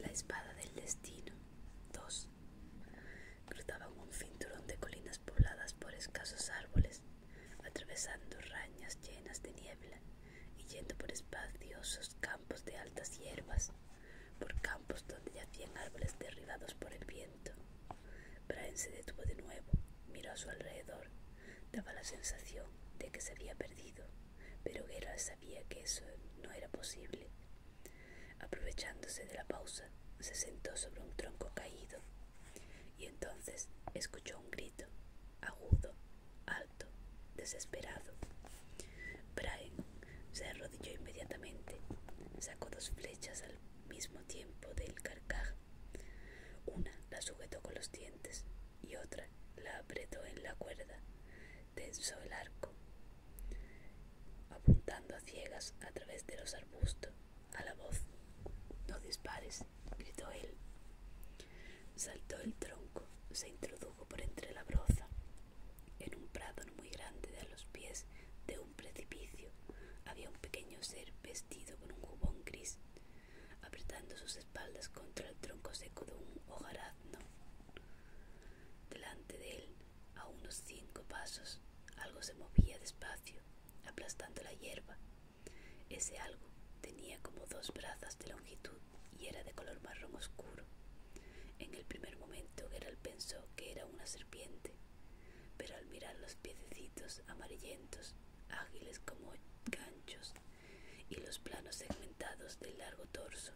La espada del destino 2. Cruzaban un cinturón de colinas pobladas por escasos árboles, atravesando rañas llenas de niebla y yendo por espaciosos campos de altas hierbas, por campos donde yacían árboles derribados por el viento. Braen se detuvo de nuevo, miró a su alrededor, daba la sensación de que se había perdido pero Geralt sabía que eso no era posible. Aprovechándose de la pausa, se sentó sobre un tronco caído y entonces escuchó un grito, agudo, alto, desesperado. Brian se arrodilló inmediatamente, sacó dos flechas al mismo tiempo del carcaj. Una la sujetó con los dientes y otra la apretó en la cuerda tensó el arco, apuntando a ciegas a través de los arbustos a la voz. No dispares, gritó él. Saltó el tronco, se introdujo por entre la broza, en un prado muy grande de a los pies de un precipicio. Había un pequeño ser vestido con un jubón gris, apretando sus espaldas contra el tronco seco de un hojarazno. Delante de él, a unos cinco pasos, algo se movía despacio, aplastando la hierba. Ese algo tenía como dos brazas de longitud y era de color marrón oscuro. En el primer momento Gerald pensó que era una serpiente, pero al mirar los piececitos amarillentos, ágiles como ganchos, y los planos segmentados del largo torso.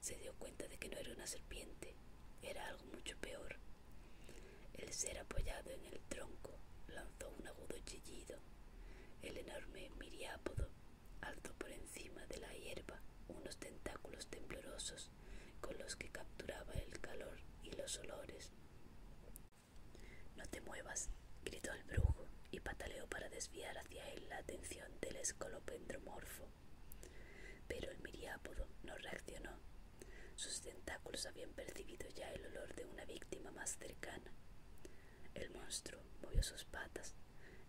Se dio cuenta de que no era una serpiente, era algo mucho peor. El ser apoyado en el tronco lanzó un agudo chillido. El enorme miriápodo alzó por encima de la hierba unos tentáculos temblorosos con los que capturaba el calor y los olores. No te muevas, gritó el brujo y pataleó para desviar hacia él la atención del escolopendromorfo. Pero el miriápodo no reaccionó. Sus tentáculos habían percibido ya el olor de una víctima más cercana. El monstruo movió sus patas,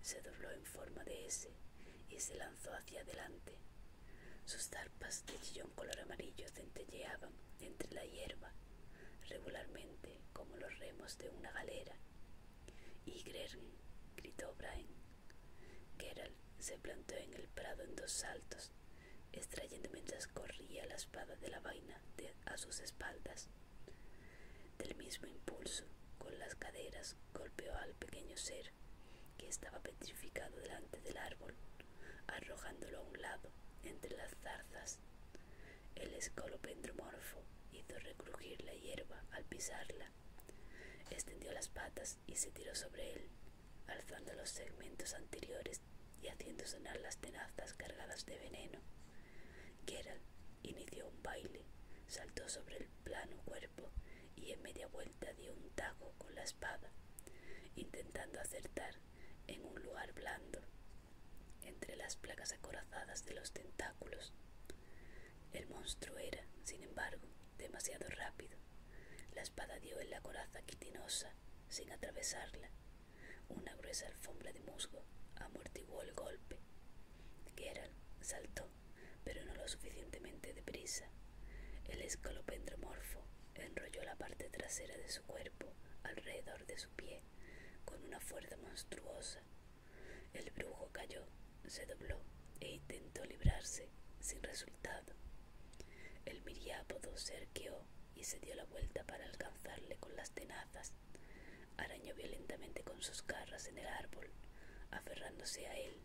se dobló en forma de S y se lanzó hacia adelante. Sus tarpas de chillón color amarillo centelleaban entre la hierba, regularmente como los remos de una galera, —gritó Brian. Geralt se plantó en el prado en dos saltos, extrayendo mientras corría la espada de la vaina a sus espaldas. Del mismo impulso, con las caderas, golpeó al pequeño ser que estaba petrificado delante del árbol, arrojándolo a un lado entre las zarzas. El escolopendromorfo hizo recrujir la hierba al pisarla. Extendió las patas y se tiró sobre él, alzando los segmentos anteriores y haciendo sonar las tenazas cargadas de veneno. Geralt inició un baile, saltó sobre el plano cuerpo y en media vuelta dio un taco con la espada, intentando acertar en un lugar blando entre las placas acorazadas de los tentáculos. El monstruo era, sin embargo, demasiado rápido. La espada dio en la coraza quitinosa sin atravesarla. Una gruesa alfombra de musgo amortiguó el golpe. Geralt saltó, pero no lo suficientemente deprisa. El escalopendromorfo enrolló la parte trasera de su cuerpo alrededor de su pie con una fuerza monstruosa el brujo cayó, se dobló e intentó librarse, sin resultado. El miriápodo se arqueó y se dio la vuelta para alcanzarle con las tenazas. Arañó violentamente con sus garras en el árbol, aferrándose a él.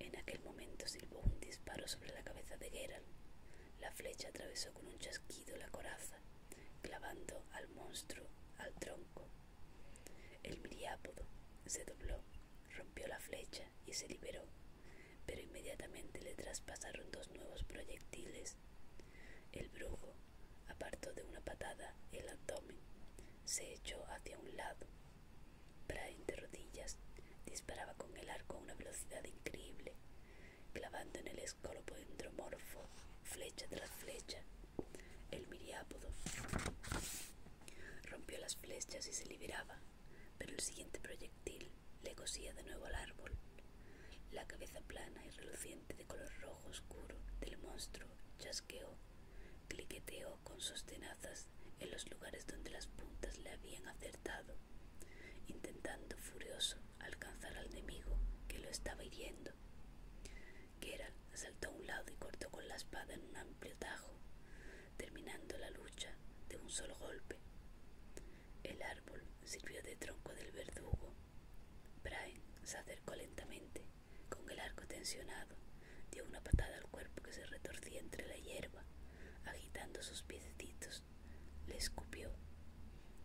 En aquel momento silbó un disparo sobre la cabeza de Geralt. La flecha atravesó con un chasquido la coraza, clavando al monstruo al tronco. El miriápodo se dobló, rompió la flecha y se liberó, pero inmediatamente le traspasaron dos nuevos proyectiles. El brujo apartó de una patada el abdomen, se echó hacia un lado. Brain de rodillas disparaba con el arco a una velocidad increíble, clavando en el escolopo endromorfo flecha tras flecha. El miriápodo rompió las flechas y se liberaba, pero el siguiente proyectil le cosía de nuevo al árbol. La cabeza plana y reluciente de color rojo oscuro del monstruo chasqueó, cliqueteó con sus tenazas en los lugares donde las puntas le habían acertado, intentando furioso alcanzar al enemigo que lo estaba hiriendo. Geralt saltó a un lado y cortó con la espada en un amplio tajo, terminando la lucha de un solo golpe. El árbol sirvió de tronco del verdugo. Brian se acercó lentamente, con el arco tensionado, dio una patada al cuerpo que se retorcía entre la hierba, agitando sus piecitos. Le escupió.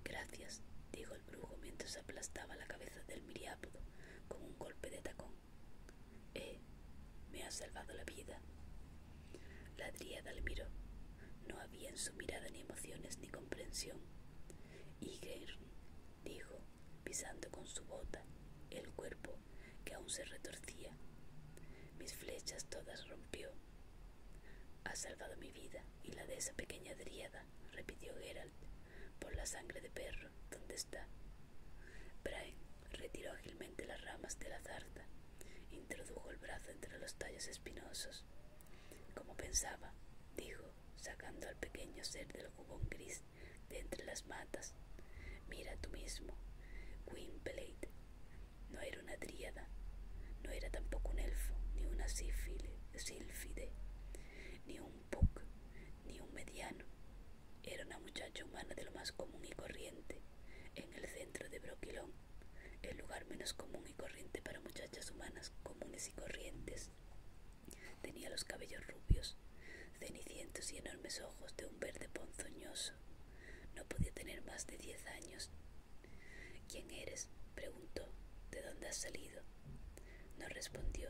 Gracias, dijo mientras aplastaba la cabeza del miriápodo con un golpe de tacón. —¡Eh! Me ha salvado la vida. La dríada le miró. No había en su mirada ni emociones ni comprensión. Y dijo, pisando con su bota el cuerpo que aún se retorcía. Mis flechas todas rompió. ¡Ha salvado mi vida y la de esa pequeña dríada, repitió Geralt, por la sangre de perro, ¿dónde está? Brian retiró ágilmente las ramas de la zarza, introdujo el brazo entre los tallos espinosos. Como pensaba, dijo, sacando al pequeño ser del jubón gris de entre las matas. Mira tú mismo, Gwynplaine. No era una dríada, no era tampoco un elfo, ni una sífide sílfide, ni un ni un mediano. Era una muchacha humana de lo más común y corriente, en el centro de Broquilón, el lugar menos común y corriente para muchachas humanas comunes y corrientes. Tenía los cabellos rubios, cenicientos y enormes ojos de un verde ponzoñoso. No podía tener más de diez años. ¿Quién eres? preguntó. ¿De dónde has salido? No respondió.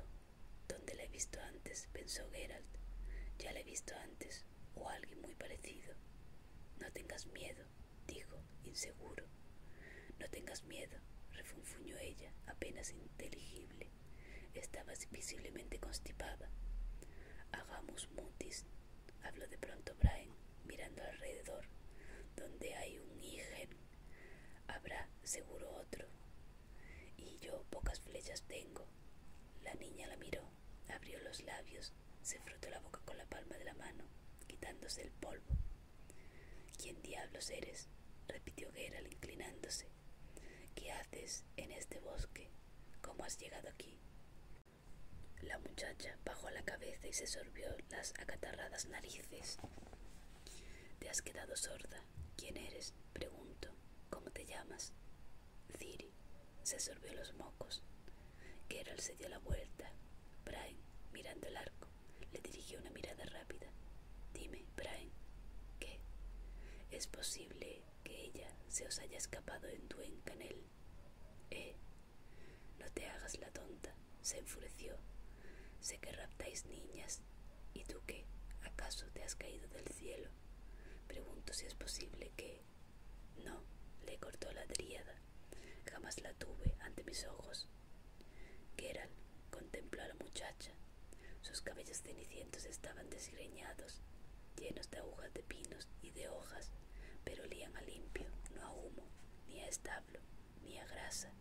¿Dónde la he visto antes? pensó Geralt. Ya la he visto antes, o alguien muy parecido. No tengas miedo, dijo, inseguro. No tengas miedo, refunfuñó ella, apenas inteligible. Estabas visiblemente constipada. Hagamos mutis, habló de pronto Brian, mirando alrededor, donde hay un Habrá seguro otro. Y yo pocas flechas tengo. La niña la miró, abrió los labios, se frotó la boca con la palma de la mano, quitándose el polvo. ¿Quién diablos eres? repitió Gerald inclinándose. ¿Qué haces en este bosque? ¿Cómo has llegado aquí? La muchacha bajó la cabeza y se sorbió las acatarradas narices. Te has quedado sorda. ¿Quién eres? Pregunto. ¿Cómo te llamas? Ciri. Se sorbió los mocos. Geralt se dio la vuelta. Brian, mirando el arco, le dirigió una mirada rápida. Dime, Brian, ¿qué? ¿Es posible que ella se os haya escapado en tu encanel? Eh, no te hagas la tonta se enfureció. Sé que raptáis niñas. ¿Y tú qué? ¿Acaso te has caído del cielo? Pregunto si es posible que... No, le cortó la dríada. Jamás la tuve ante mis ojos. Geralt contempló a la muchacha. Sus cabellos cenicientos estaban desgreñados, llenos de agujas de pinos y de hojas, pero olían a limpio, no a humo, ni a establo ni grasa.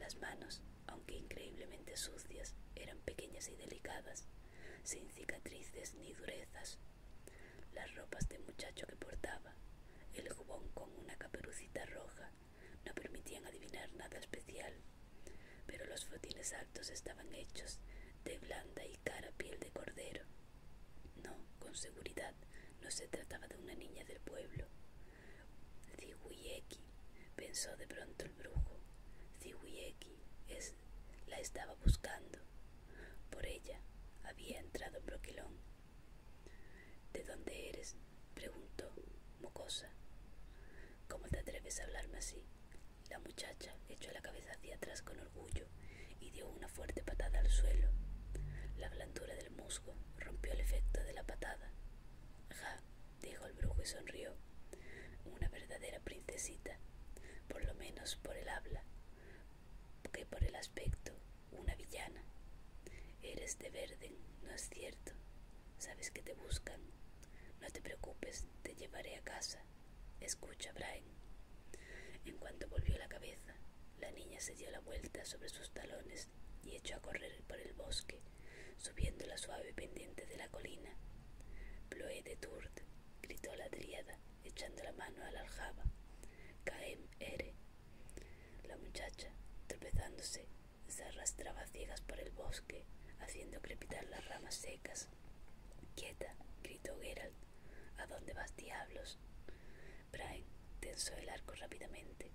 Las manos, aunque increíblemente sucias, eran pequeñas y delicadas, sin cicatrices ni durezas. Las ropas de muchacho que portaba, el jubón con una caperucita roja, no permitían adivinar nada especial, pero los botines altos estaban hechos de blanda y cara piel de cordero. No, con seguridad, no se trataba de una niña del pueblo, Ziguieki, pensó de pronto el brujo. Zihuieki es, la estaba buscando. Por ella había entrado Broquelón. ¿De dónde eres? preguntó, mocosa. ¿Cómo te atreves a hablarme así? La muchacha echó la cabeza hacia atrás con orgullo y dio una fuerte patada al suelo. La blandura del musgo rompió el efecto de la patada Ja, dijo el brujo y sonrió. Una verdadera princesita, por lo menos por el habla, que por el aspecto, una villana. Eres de Verden, ¿no es cierto? Sabes que te buscan. No te preocupes, te llevaré a casa. Escucha, Brian. En cuanto volvió la cabeza, la niña se dio la vuelta sobre sus talones y echó a correr por el bosque, subiendo la suave pendiente de la colina. Ploé de Turt, gritó la triada, echando la mano a la aljaba. Caem ere. La muchacha, tropezándose, se arrastraba ciegas por el bosque, haciendo crepitar las ramas secas. Quieta, gritó Geralt. ¿A dónde vas, diablos? Brain tensó el arco rápidamente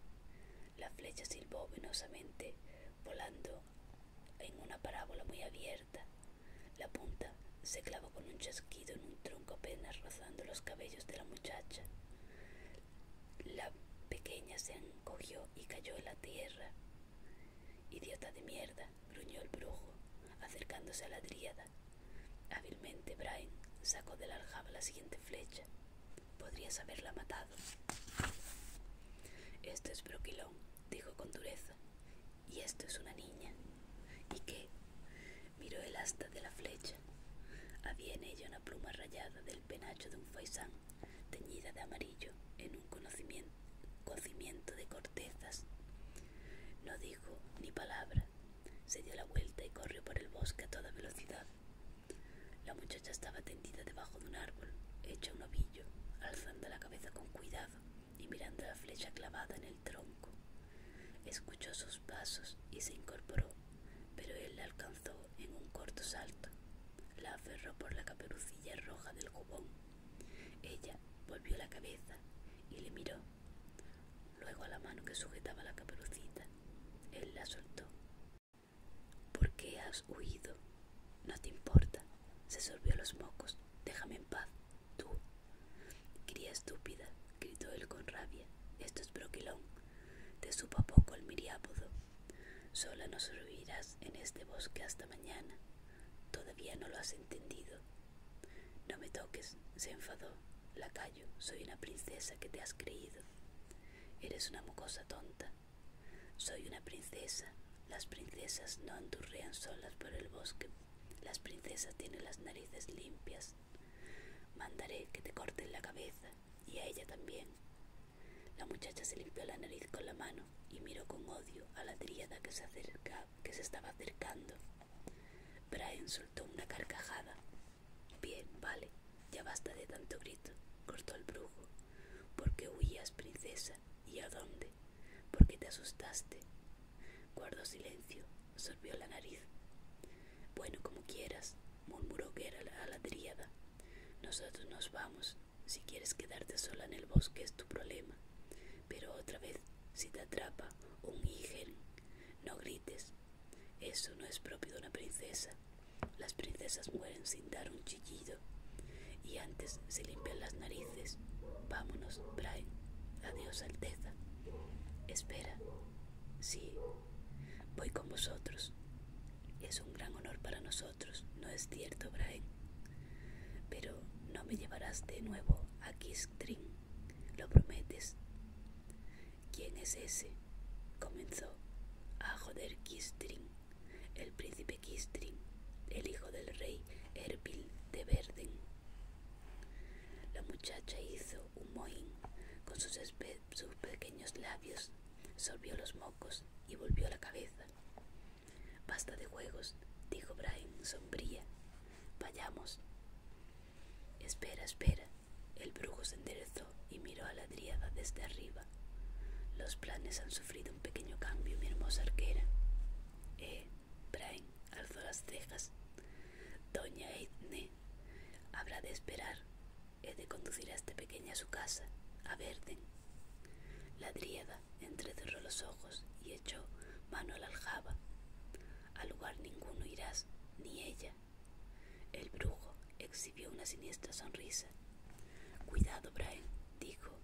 la flecha silbó venosamente, volando en una parábola muy abierta. La punta se clavó con un chasquido en un tronco apenas rozando los cabellos de la muchacha. La pequeña se encogió y cayó en la tierra. Idiota de mierda, gruñó el brujo, acercándose a la dríada. Hábilmente Brian sacó de la aljaba la siguiente flecha. Podrías haberla matado. Esto es Broquilón, dijo con dureza. Y esto es una niña. ¿Y qué? Miró el asta de la flecha. Había en ella una pluma rayada del penacho de un faisán, teñida de amarillo, en un cocimiento de cortezas. No dijo ni palabra. Se dio la vuelta y corrió por el bosque a toda velocidad. La muchacha estaba tendida debajo de un árbol, hecha un ovillo, alzando la cabeza con cuidado y mirando la flecha clavada en el tronco. Escuchó sus pasos y se incorporó, pero él la alcanzó en un corto salto. La aferró por la caperucilla roja del cubón Ella volvió la cabeza y le miró, luego a la mano que sujetaba la caperucita. Él la soltó ¿Por qué has huido? No te importa. Se sorbió los mocos. Déjame en paz. Tú. Cría estúpida, gritó él con rabia. Esto es broquelón, Te supo poco el miriápodo. Sola nos sorbirás en este bosque hasta mañana. Todavía no lo has entendido. No me toques, se enfadó. La soy una princesa que te has creído. Eres una mucosa tonta. Soy una princesa. Las princesas no andurrean solas por el bosque. Las princesas tienen las narices limpias. Mandaré que te corten la cabeza y a ella también. La muchacha se limpió la nariz con la mano y miró con odio a la triada que se, que se estaba acercando. Brian soltó una carcajada. Bien, vale, ya basta de tanto grito, cortó el brujo. ¿Por qué huías, princesa? ¿Y a dónde? ¿Por qué te asustaste? Guardó silencio, sorbió la nariz. Bueno, como quieras, murmuró que a la triada. Nosotros nos vamos. Si quieres quedarte sola en el bosque es tu problema. Pero otra vez, si te atrapa un hígel, no grites, eso no es propio de una princesa. Las princesas mueren sin dar un chillido. Y antes se limpian las narices. Vámonos, Brian. Adiós, Alteza. Espera. Sí. Voy con vosotros. Es un gran honor para nosotros, ¿no es cierto, Brian? Pero no me llevarás de nuevo a Kistrin. ¿Lo prometes? ¿Quién es ese? comenzó a ah, joder Kistrin, el príncipe Kistrin, el hijo del rey Erbil de Verden. La muchacha hizo un moín con sus, sus pequeños labios, solvió los mocos y volvió la cabeza. Basta de juegos, dijo Brian sombría. Vayamos. Espera, espera, el brujo se enderezó y miró a la dríada desde arriba. Los planes han sufrido un pequeño cambio, mi hermosa arquera. Eh, Brain alzó las cejas. Doña eidne habrá de esperar. He de conducir a esta pequeña a su casa, a Verden. La dríada entrecerró los ojos y echó mano a la aljaba. —Al lugar ninguno irás, ni ella el brujo exhibió una siniestra sonrisa. Cuidado, Brian, dijo.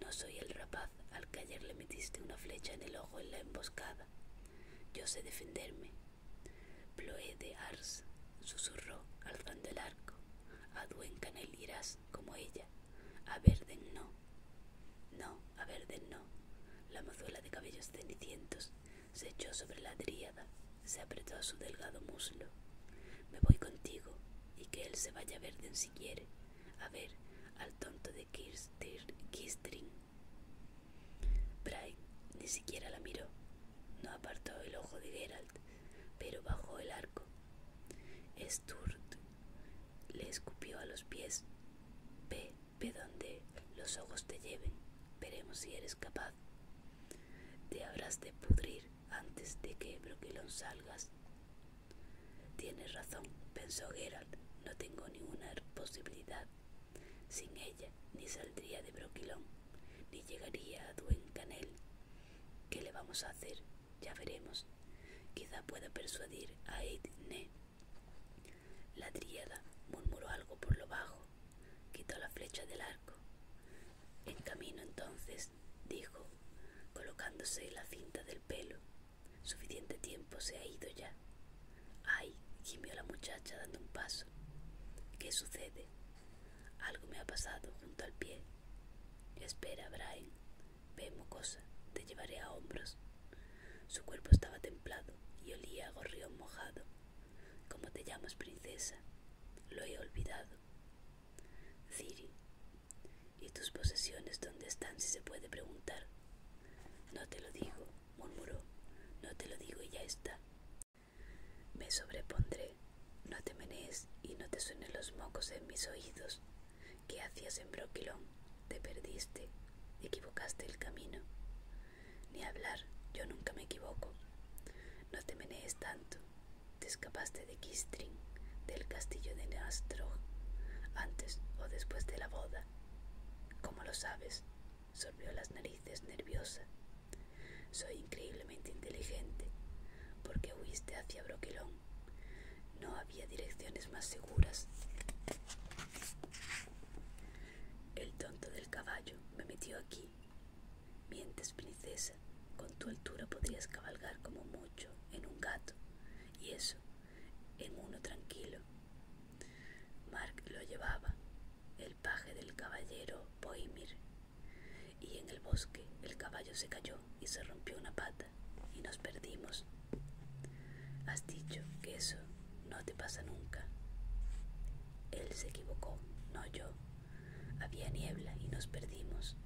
No soy el rapaz al que ayer le metiste una flecha en el ojo en la emboscada. Yo sé defenderme. Ploé de Ars susurró, alzando el arco. A el irás como ella. A Verden no. No, a Verden no. La mozuela de cabellos cenicientos se echó sobre la dríada, se apretó a su delgado muslo. Me voy contigo y que él se vaya a en si quiere, a ver al tonto de Kistring. Bray ni siquiera la miró, no apartó el ojo de Geralt, pero bajó el arco. Sturt le escupió a los pies. Ve, ve donde los ojos te lleven, veremos si eres capaz. Te habrás de pudrir antes de que Broquilón salgas. Tienes razón, pensó Geralt. No tengo ninguna posibilidad. Sin ella ni saldría de Broquilón, ni llegaría a Duencanel. ¿Qué le vamos a hacer? Ya veremos. Quizá pueda persuadir a Edne. La triada murmuró algo por lo bajo quitó la flecha del arco. En camino entonces, dijo, colocándose la cinta del pelo, suficiente tiempo se ha ido ya. Ay, gimió la muchacha dando un paso. ¿Qué sucede? Algo me ha pasado junto al pie. Espera, Brian. Vemos cosa. te llevaré a hombros. Su cuerpo estaba templado y olía a gorrión mojado ¿Cómo te llamas, princesa? Lo he olvidado. Ciri. ¿Y tus posesiones dónde están, si se puede preguntar? No te lo digo, murmuró. No te lo digo y ya está. Me sobrepondré. No te menees y no te suenen los mocos en mis oídos. ¿Qué hacías en Broquilón? Te perdiste. Equivocaste el camino. Ni hablar, yo nunca me equivoco. No te menees tanto. Te escapaste de Kistrin, del castillo de Nastrog, antes o después de la boda. Como lo sabes? Sorbió las narices nerviosa. Soy increíblemente inteligente, porque huiste hacia Broquelón. No había direcciones más seguras. El tonto del caballo me metió aquí Mientes, princesa, con tu altura podrías cabalgar como mucho en un gato, y eso, en uno tranquilo. Mark lo llevaba, el paje del caballero Boimir, y en el bosque el caballo se cayó y se rompió una pata, y nos perdimos. Has dicho que eso no te pasa nunca. Él se equivocó, no yo. Había niebla y nos perdimos.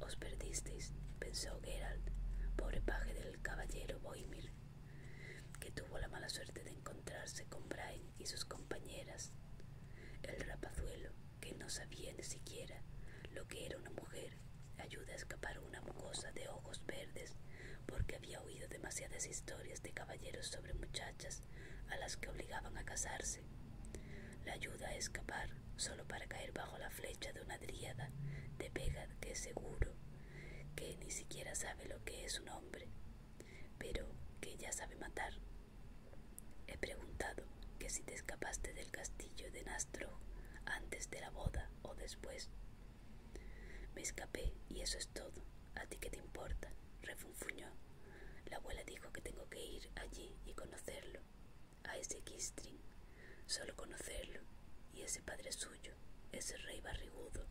Os perdisteis, pensó Geralt, pobre paje del caballero Boimir, que tuvo la mala suerte de encontrarse con Brian y sus compañeras. El rapazuelo, que no sabía ni siquiera lo que era una mujer, ayuda a escapar una mucosa de ojos verdes porque había oído demasiadas historias de caballeros sobre muchachas a las que obligaban a casarse. La ayuda a escapar solo para caer bajo la flecha de una dríada de pega que es seguro que ni siquiera sabe lo que es un hombre, pero que ya sabe matar. He preguntado que si te escapaste del castillo de Nastro antes de la boda o después. Me escapé y eso es todo. ¿A ti qué te importa? refunfuñó. La abuela dijo que tengo que ir allí y conocerlo, a ese Kistrin, solo conocerlo, y ese padre suyo, ese rey barrigudo,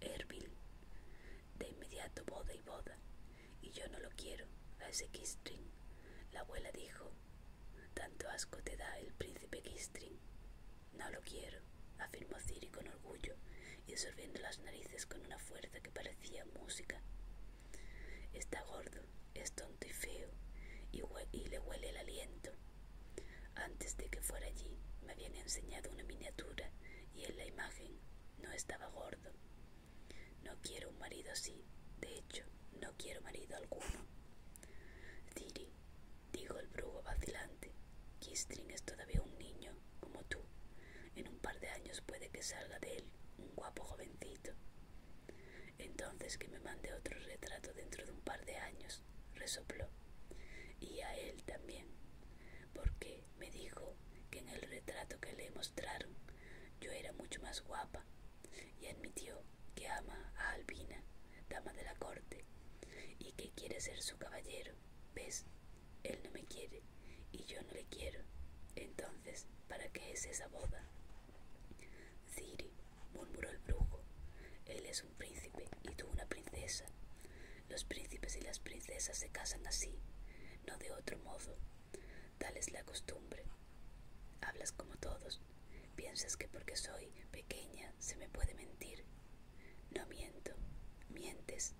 Erbil. De inmediato boda y boda, y yo no lo quiero, a ese Kistrin. La abuela dijo, tanto asco te da el príncipe Kistrin. No lo quiero, afirmó Ciri con orgullo y absorbiendo las narices con una fuerza que parecía música. Está gordo, es tonto y feo, y, le huele el aliento. Antes de que fuera allí, me habían enseñado una miniatura y en la imagen no estaba gordo. No quiero un marido así, de hecho, no quiero marido alguno. Ciri, dijo el brujo vacilante, Kistring es todavía un niño como tú. En un par de años puede que salga de él un guapo jovencito. Entonces que me mande otro retrato dentro de un par de años, resopló. Y a él también, porque me dijo que en el retrato que le mostraron yo era mucho más guapa y admitió que ama a Albina, dama de la corte, y que quiere ser su caballero. ¿Ves? Él no me quiere y yo no le quiero. Entonces, ¿para qué es esa boda? Ciri, murmuró el brujo, él es un príncipe y tú una princesa. Los príncipes y las princesas se casan así, no de otro modo. Tal es la costumbre. Hablas como todos. Piensas que porque soy pequeña se me puede mentir. No miento, mientes.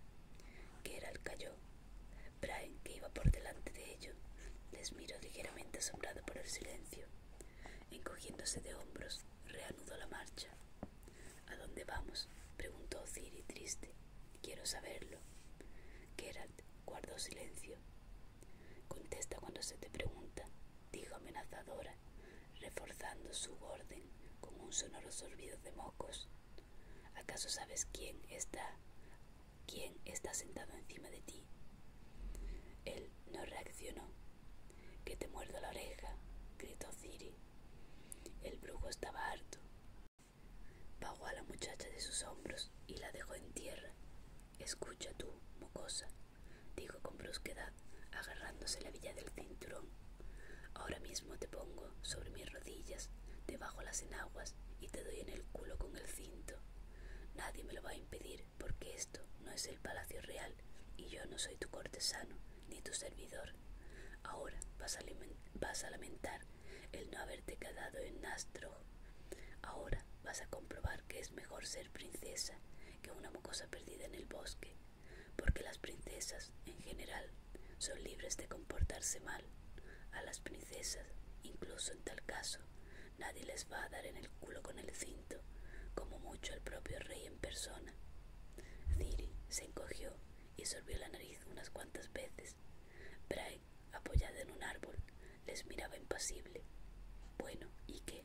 Geralt cayó. Brian, que iba por delante de ellos, les miró ligeramente asombrado por el silencio. Encogiéndose de hombros, reanudó la marcha. ¿A dónde vamos? preguntó Ciri triste. Quiero saberlo. Geralt guardó silencio. Contesta cuando se te pregunta, dijo amenazadora, reforzando su orden con un sonoro sorbido de mocos. ¿Acaso sabes quién está, quién está sentado encima de ti? Él no reaccionó. Que te muerdo la oreja, gritó Ciri. El brujo estaba harto. Pagó a la muchacha de sus hombros y la dejó en tierra. Escucha tú, mocosa, dijo con brusquedad, agarrándose la villa del cinturón Ahora mismo te pongo sobre mis rodillas, debajo las enaguas y te doy en el culo con el cinto. Nadie me lo va a impedir porque esto no es el palacio real y yo no soy tu cortesano ni tu servidor. Ahora vas a, vas a lamentar el no haberte quedado en Nastro. Ahora vas a comprobar que es mejor ser princesa que una mocosa perdida en el bosque porque las princesas en general son libres de comportarse mal. A las princesas, incluso en tal caso, nadie les va a dar en el culo con el cinto, como mucho el propio rey en persona. Ciri se encogió y sorbió la nariz unas cuantas veces. Brahe, apoyada en un árbol, les miraba impasible. Bueno, ¿y qué?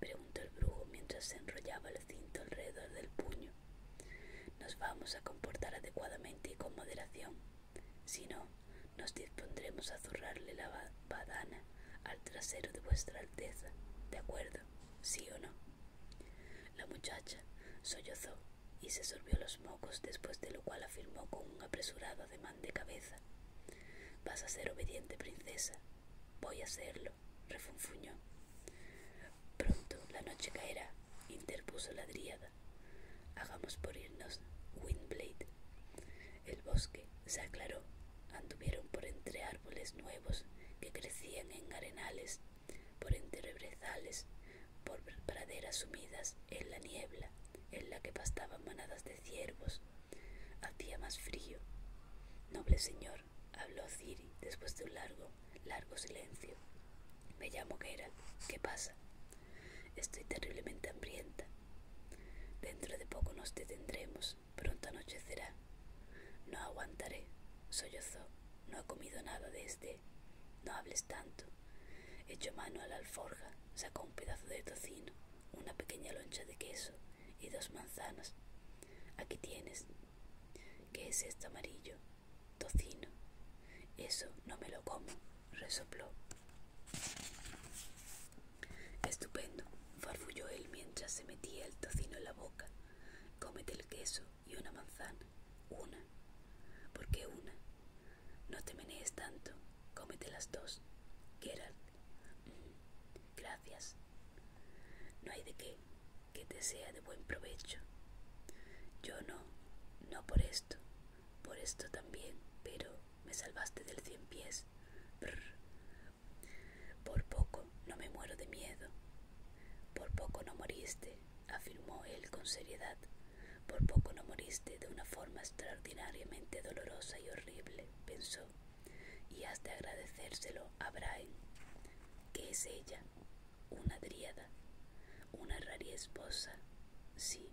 preguntó el brujo mientras se enrollaba el cinto alrededor del puño. Nos vamos a comportar adecuadamente y con moderación. Si no, nos dispondremos a zurrarle la badana al trasero de vuestra alteza. ¿De acuerdo? ¿Sí o no? La muchacha sollozó y se sorbió los mocos, después de lo cual afirmó con un apresurado ademán de cabeza. Vas a ser obediente, princesa. Voy a serlo, refunfuñó. Pronto la noche caerá, interpuso la dríada. Hagamos por irnos, Windblade. El bosque se aclaró. Anduvieron por entre árboles nuevos que crecían en arenales, por entre rebrezales por praderas sumidas en la niebla, en la que pastaban manadas de ciervos. Hacía más frío. Noble señor, habló Ciri después de un largo, largo silencio. Me llamo Gera. ¿Qué pasa? Estoy terriblemente hambrienta. Dentro de poco nos detendremos. Pronto anochecerá. No aguantaré, sollozó. No ha comido nada desde. Este. No hables tanto. Echó mano a la alforja, sacó un pedazo de tocino, una pequeña loncha de queso y dos manzanas. Aquí tienes. ¿Qué es esto amarillo? Tocino. Eso no me lo como, resopló. Estupendo, farfulló él mientras se metía el tocino en la boca. Cómete el queso y una manzana. Una. ¿Por qué una? No te menees tanto. Cómete las dos. Gerald. Mm, gracias. No hay de qué que te sea de buen provecho. Yo no, no por esto, por esto también, pero me salvaste del cien pies. Por poco no me muero de miedo. Por poco no moriste, afirmó él con seriedad. Por poco no moriste de una forma extraordinariamente dolorosa y horrible, pensó, y has de agradecérselo a Brian. ¿Qué es ella? una dríada, una rara esposa. Sí,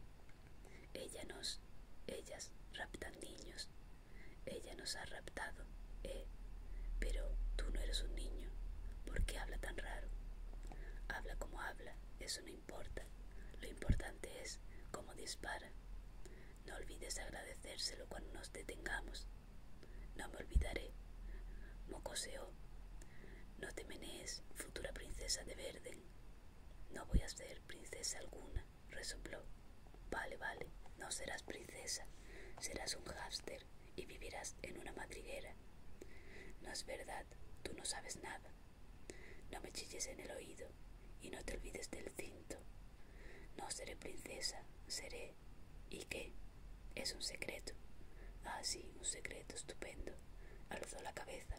ella nos, ellas raptan niños. Ella nos ha raptado, eh. Pero tú no eres un niño. ¿Por qué habla tan raro? Habla como habla, eso no importa. Lo importante es cómo dispara. No olvides agradecérselo cuando nos detengamos. No me olvidaré, mocoseó. No te menees, futura princesa de Verden. No voy a ser princesa alguna, resopló. Vale, vale, no serás princesa, serás un hámster y vivirás en una madriguera. No es verdad, tú no sabes nada. No me chilles en el oído y no te olvides del cinto. No seré princesa, seré ¿Y qué? Es un secreto. Ah, sí, un secreto estupendo. Alzó la cabeza.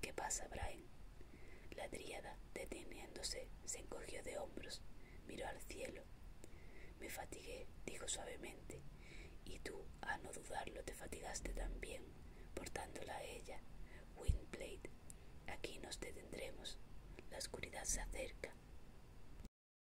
¿Qué pasa, Brian? La triada, deteniéndose, se encogió de hombros, miró al cielo. Me fatigué, dijo suavemente, y tú, a no dudarlo, te fatigaste también, portándola a ella. Windblade, aquí nos detendremos. La oscuridad se acerca.